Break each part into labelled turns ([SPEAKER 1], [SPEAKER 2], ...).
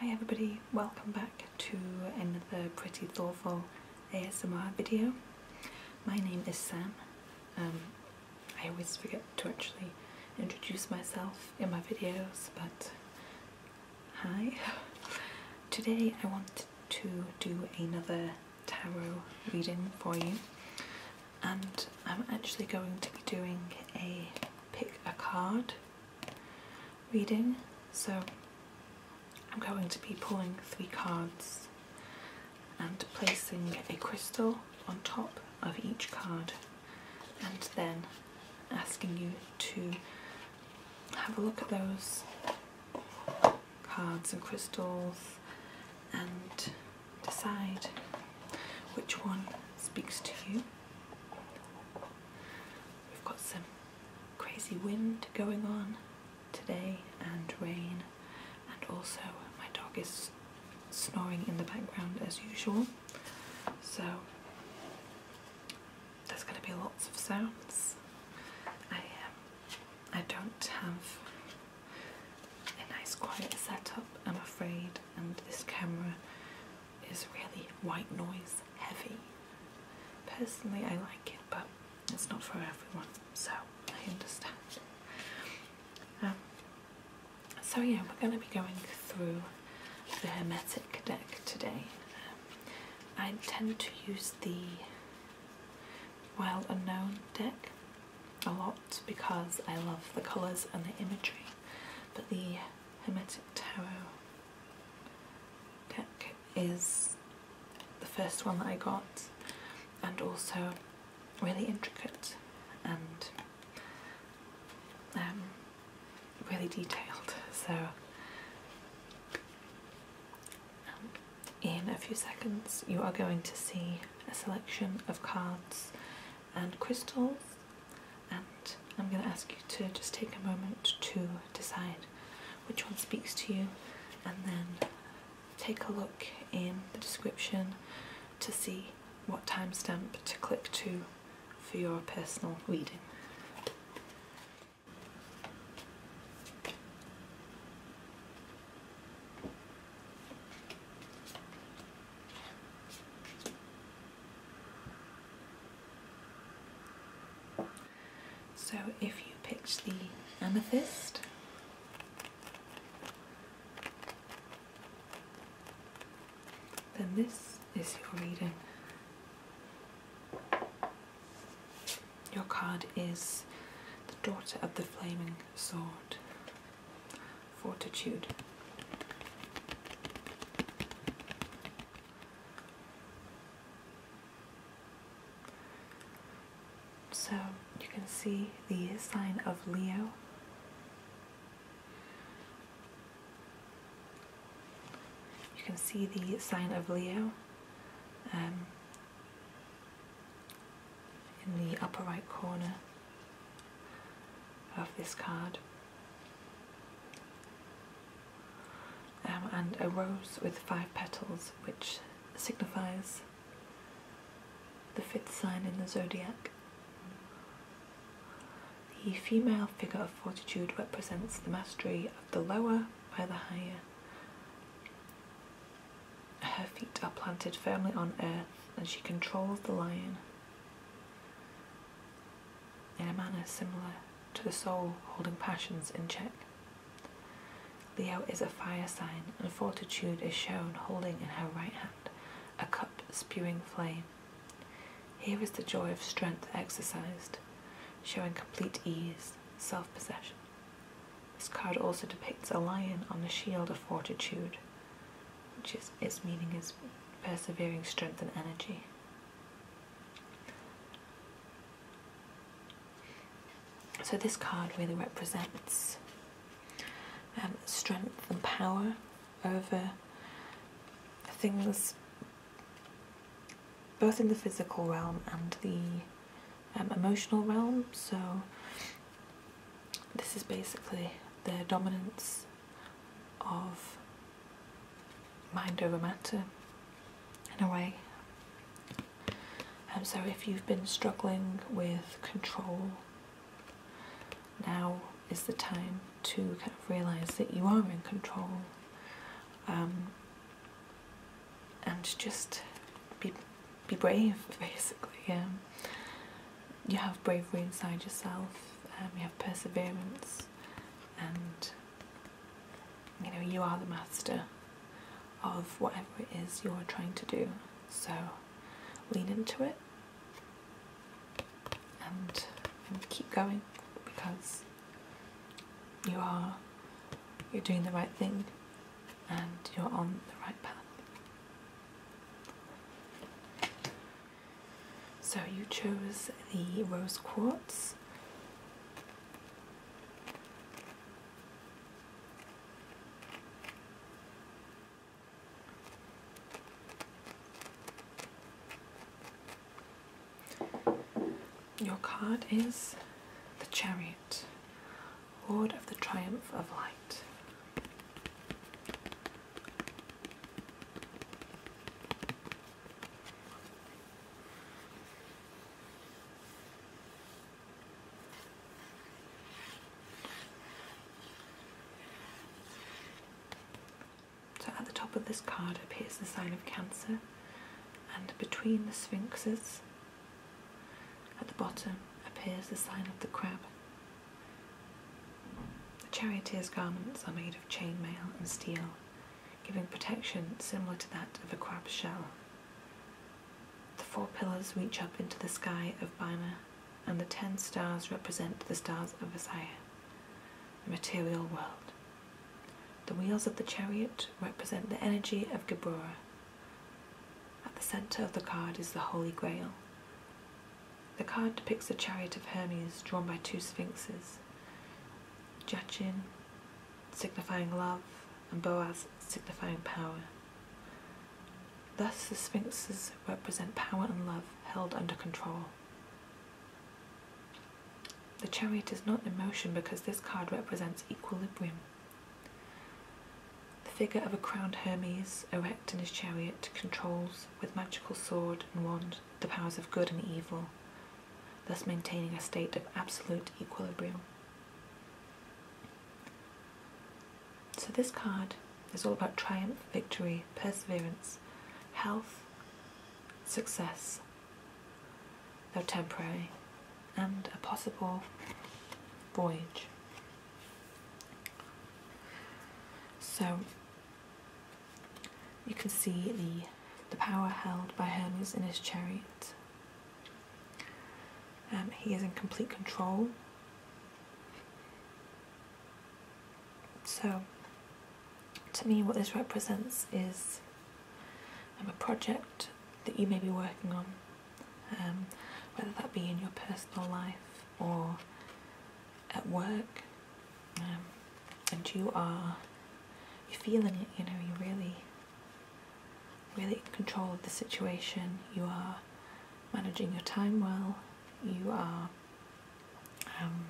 [SPEAKER 1] Hi everybody, welcome back to another pretty thoughtful ASMR video. My name is Sam. Um, I always forget to actually introduce myself in my videos, but hi. Today I want to do another tarot reading for you and I'm actually going to be doing a pick a card reading, so I'm going to be pulling three cards and placing a crystal on top of each card and then asking you to have a look at those cards and crystals and decide which one speaks to you We've got some crazy wind going on today and rain, and also my dog is snoring in the background as usual. So there's going to be lots of sounds. I um, I don't have a nice quiet setup, I'm afraid, and this camera is really white noise heavy. Personally, I like it, but it's not for everyone, so I understand. Um, so, yeah, we're going to be going through the Hermetic deck today. Um, I tend to use the wild unknown deck a lot because I love the colours and the imagery, but the Hermetic Tarot deck is the first one that I got and also really intricate and um, really detailed so um, in a few seconds you are going to see a selection of cards and crystals and I'm going to ask you to just take a moment to decide which one speaks to you and then take a look in the description to see what timestamp to click to for your personal reading. So if you picked the amethyst, then this is your reading. Your card is the Daughter of the Flaming Sword fortitude. So you can see the sign of Leo. You can see the sign of Leo um, in the upper right corner of this card. Um, and a rose with five petals, which signifies the fifth sign in the zodiac. The female figure of fortitude represents the mastery of the lower by the higher. Her feet are planted firmly on earth and she controls the lion in a manner similar to the soul holding passions in check. Leo is a fire sign, and fortitude is shown holding in her right hand a cup spewing flame. Here is the joy of strength exercised, showing complete ease, self possession. This card also depicts a lion on the shield of fortitude, which is, its meaning is persevering strength and energy. So this card really represents um, strength and power over things both in the physical realm and the um, emotional realm. So this is basically the dominance of mind over matter in a way. And so if you've been struggling with control, now is the time to kind of realize that you are in control um, and just be, be brave basically. Um, you have bravery inside yourself, um, you have perseverance, and you know, you are the master of whatever it is you're trying to do. So lean into it and keep going because you are you're doing the right thing and you're on the right path. So you chose the rose quartz. Your card is the Chariot, Lord of the Triumph of Light. So at the top of this card appears the sign of Cancer, and between the sphinxes at the bottom appears the sign of the crab. The charioteer's garments are made of chainmail and steel, giving protection similar to that of a crab's shell. The four pillars reach up into the sky of Bina, and the ten stars represent the stars of Isaiah, the material world. The wheels of the chariot represent the energy of Geburah. At the centre of the card is the Holy Grail, the card depicts the chariot of Hermes drawn by two sphinxes, Jachin signifying love and Boaz signifying power. Thus, the sphinxes represent power and love held under control. The chariot is not in motion because this card represents equilibrium. The figure of a crowned Hermes, erect in his chariot, controls, with magical sword and wand, the powers of good and evil, thus maintaining a state of absolute equilibrium. So, this card is all about triumph, victory, perseverance, health, success, though temporary, and a possible voyage. So you can see the, the power held by Hermes in his chariot. Um, he is in complete control. So, to me, what this represents is um, a project that you may be working on, um, whether that be in your personal life or at work um, and you are you're feeling it you know you're really really in control of the situation you are managing your time well you are um,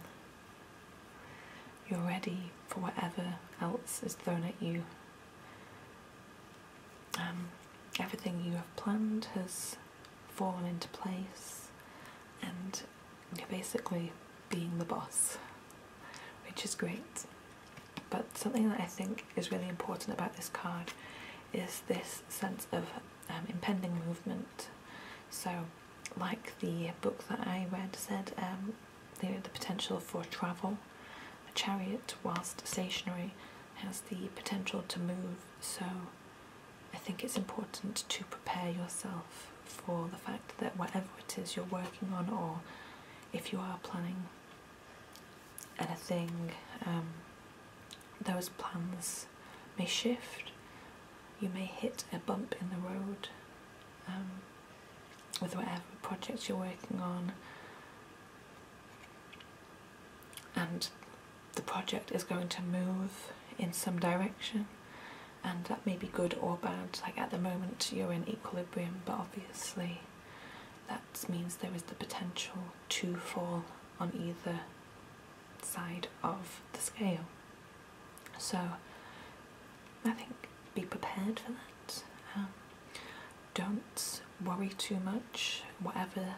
[SPEAKER 1] you're ready for whatever else is thrown at you um, everything you have planned has fall into place and you're basically being the boss, which is great. But something that I think is really important about this card is this sense of um, impending movement. So, like the book that I read said, um, the potential for travel. A chariot, whilst stationary, has the potential to move, so I think it's important to prepare yourself for the fact that whatever it is you're working on, or if you are planning anything, um, those plans may shift. You may hit a bump in the road um, with whatever projects you're working on and the project is going to move in some direction and that may be good or bad like at the moment you're in equilibrium but obviously that means there is the potential to fall on either side of the scale so i think be prepared for that um, don't worry too much whatever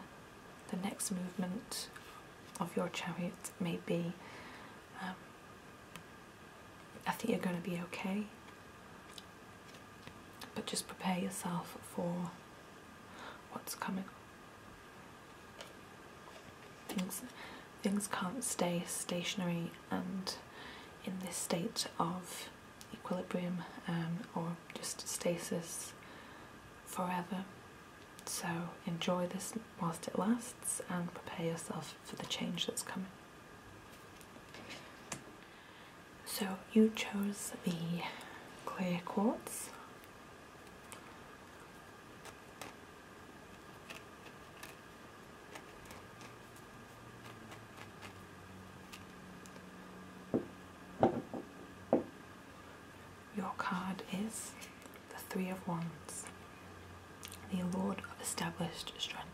[SPEAKER 1] the next movement of your chariot may be. Um, I think you're going to be okay, but just prepare yourself for what's coming. Things, things can't stay stationary and in this state of equilibrium um, or or just stasis forever. So enjoy this whilst it lasts and prepare yourself for the change that's coming. So you chose the clear quartz. Your card is the Three of Wands, the Lord of Established Strength.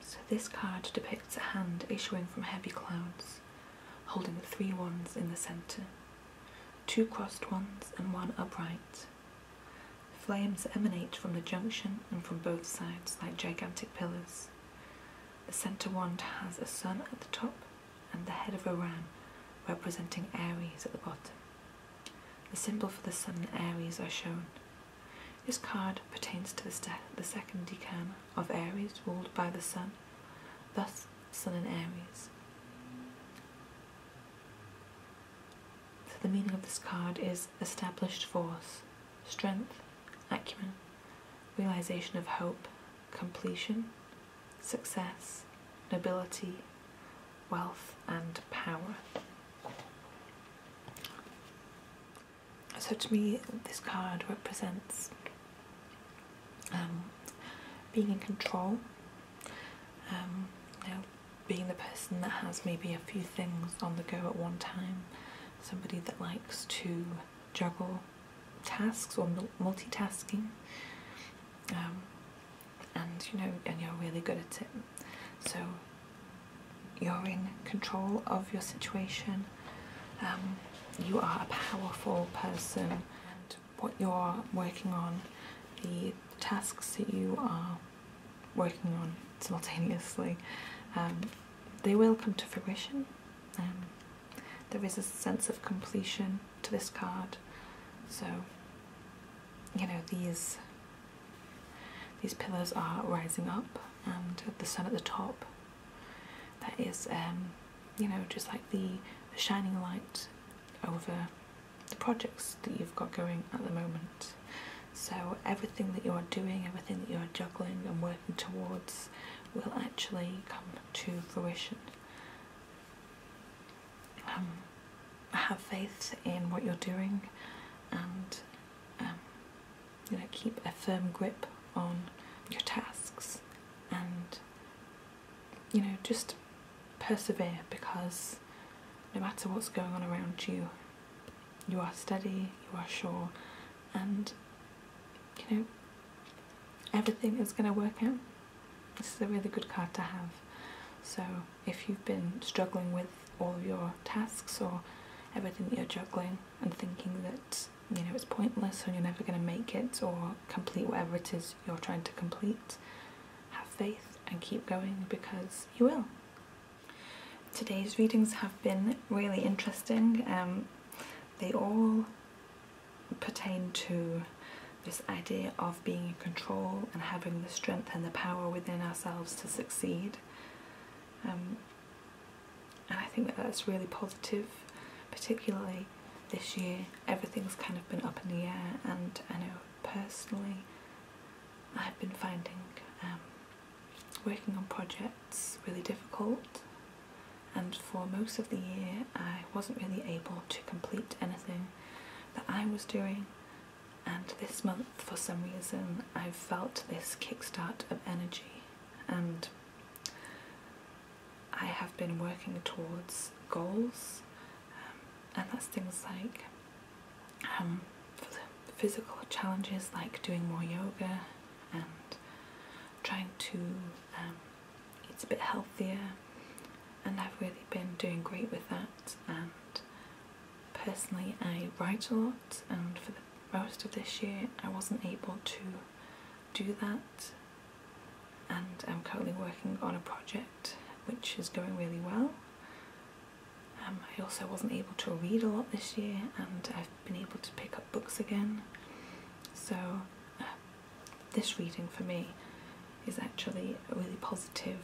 [SPEAKER 1] So, this card depicts a hand issuing from heavy clouds, holding the three wands in the centre, two crossed ones and one upright. Flames emanate from the junction and from both sides like gigantic pillars. The center wand has a sun at the top and the head of a ram representing Aries at the bottom. The symbol for the sun and Aries are shown. This card pertains to the, second decan of Aries ruled by the sun, thus sun and Aries. So the meaning of this card is established force, strength, acumen, realization of hope, completion, success, nobility, wealth, and power. So, to me, this card represents um, being in control, um, being the person that has maybe a few things on the go at one time, somebody that likes to juggle tasks or multitasking, um, and you know, and you're really good at it. So you're in control of your situation. Um, you are a powerful person, and what you're working on, the tasks that you are working on simultaneously, um, they will come to fruition. Um, there is a sense of completion to this card, so you know these these pillars are rising up, and the sun at the top. That is, um, you know, just like the, the shining light over the projects that you've got going at the moment. So everything that you are doing, everything that you are juggling and working towards will actually come to fruition. Um, have faith in what you're doing and um, you know, keep a firm grip on your tasks and you know just persevere because no matter what's going on around you you are steady you are sure and you know everything is going to work out. This is a really good card to have. So if you've been struggling with all your tasks or everything that you're juggling and thinking that you know it's pointless and you're never going to make it or complete whatever it is you're trying to complete, have faith and keep going because you will. Today's readings have been really interesting. Um, they all pertain to this idea of being in control and having the strength and the power within ourselves to succeed. Um, and I think that that's really positive, particularly this year. Everything's kind of been up in the air, and I know personally I've been finding um, working on projects really difficult, and for most of the year, I wasn't really able to complete anything that I was doing. And this month, for some reason, I felt this kickstart of energy, and I have been working towards goals, um, and that's things like um, physical challenges like doing more yoga and trying to um, eat a bit healthier, and I've really been doing great with that. And personally, I write a lot, and for the most of this year, I wasn't able to do that. And I'm currently working on a project which is going really well. Um, I also wasn't able to read a lot this year, and I've been able to pick up books again. So, uh, this reading for me is actually a really positive,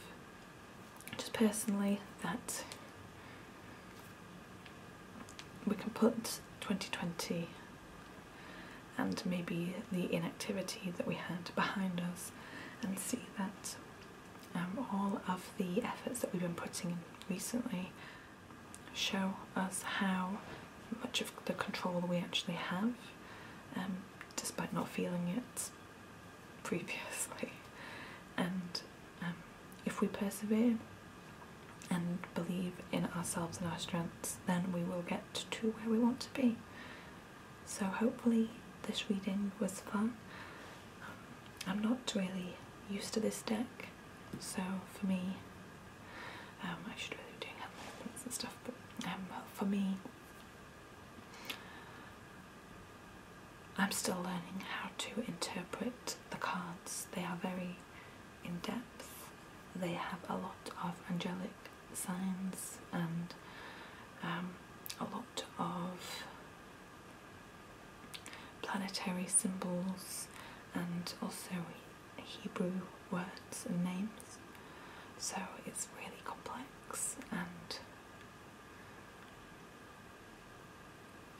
[SPEAKER 1] just personally, that we can put 2020 and maybe the inactivity that we had behind us and see that um, all of the efforts that we've been putting in recently show us how much of the control we actually have, um, despite not feeling it previously. And um, if we persevere and believe in ourselves and our strengths, then we will get to where we want to be. So hopefully this reading was fun. Um, I'm not really used to this deck so for me, um, I should really be doing health benefits and stuff, but um, for me, I'm still learning how to interpret the cards. They are very in depth. They have a lot of angelic signs and um, a lot of planetary symbols and also Hebrew words and names. So it's really complex and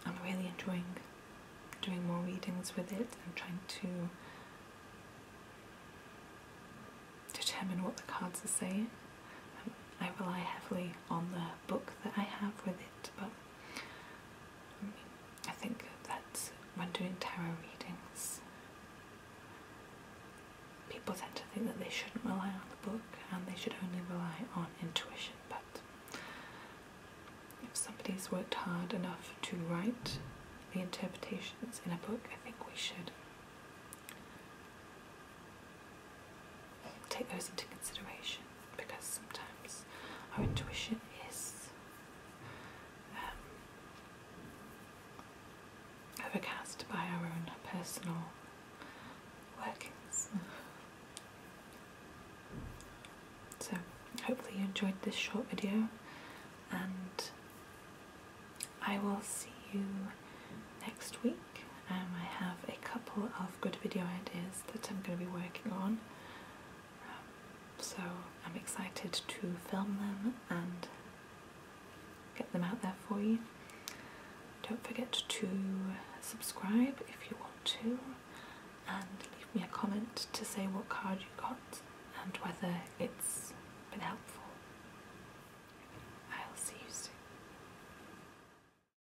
[SPEAKER 1] I'm really enjoying doing more readings with it I'm trying to determine what the cards are saying. Um, I rely heavily on the book that I have with it, but I think that when doing tarot readings, people tend to think that they shouldn't rely on the book and they should only rely on intuition. But if somebody's worked hard enough to write the interpretations in a book, I think we should take those into consideration because sometimes our intuition is um, overcast by our own personal workings. So, hopefully, you enjoyed this short video, and I will see you next week. Um, I have a couple of good video ideas that I'm going to be working on. Um, so I'm excited to film them and get them out there for you. Don't forget to subscribe if you want to and leave me a comment to say what card you got and whether it's been helpful. I'll see you soon.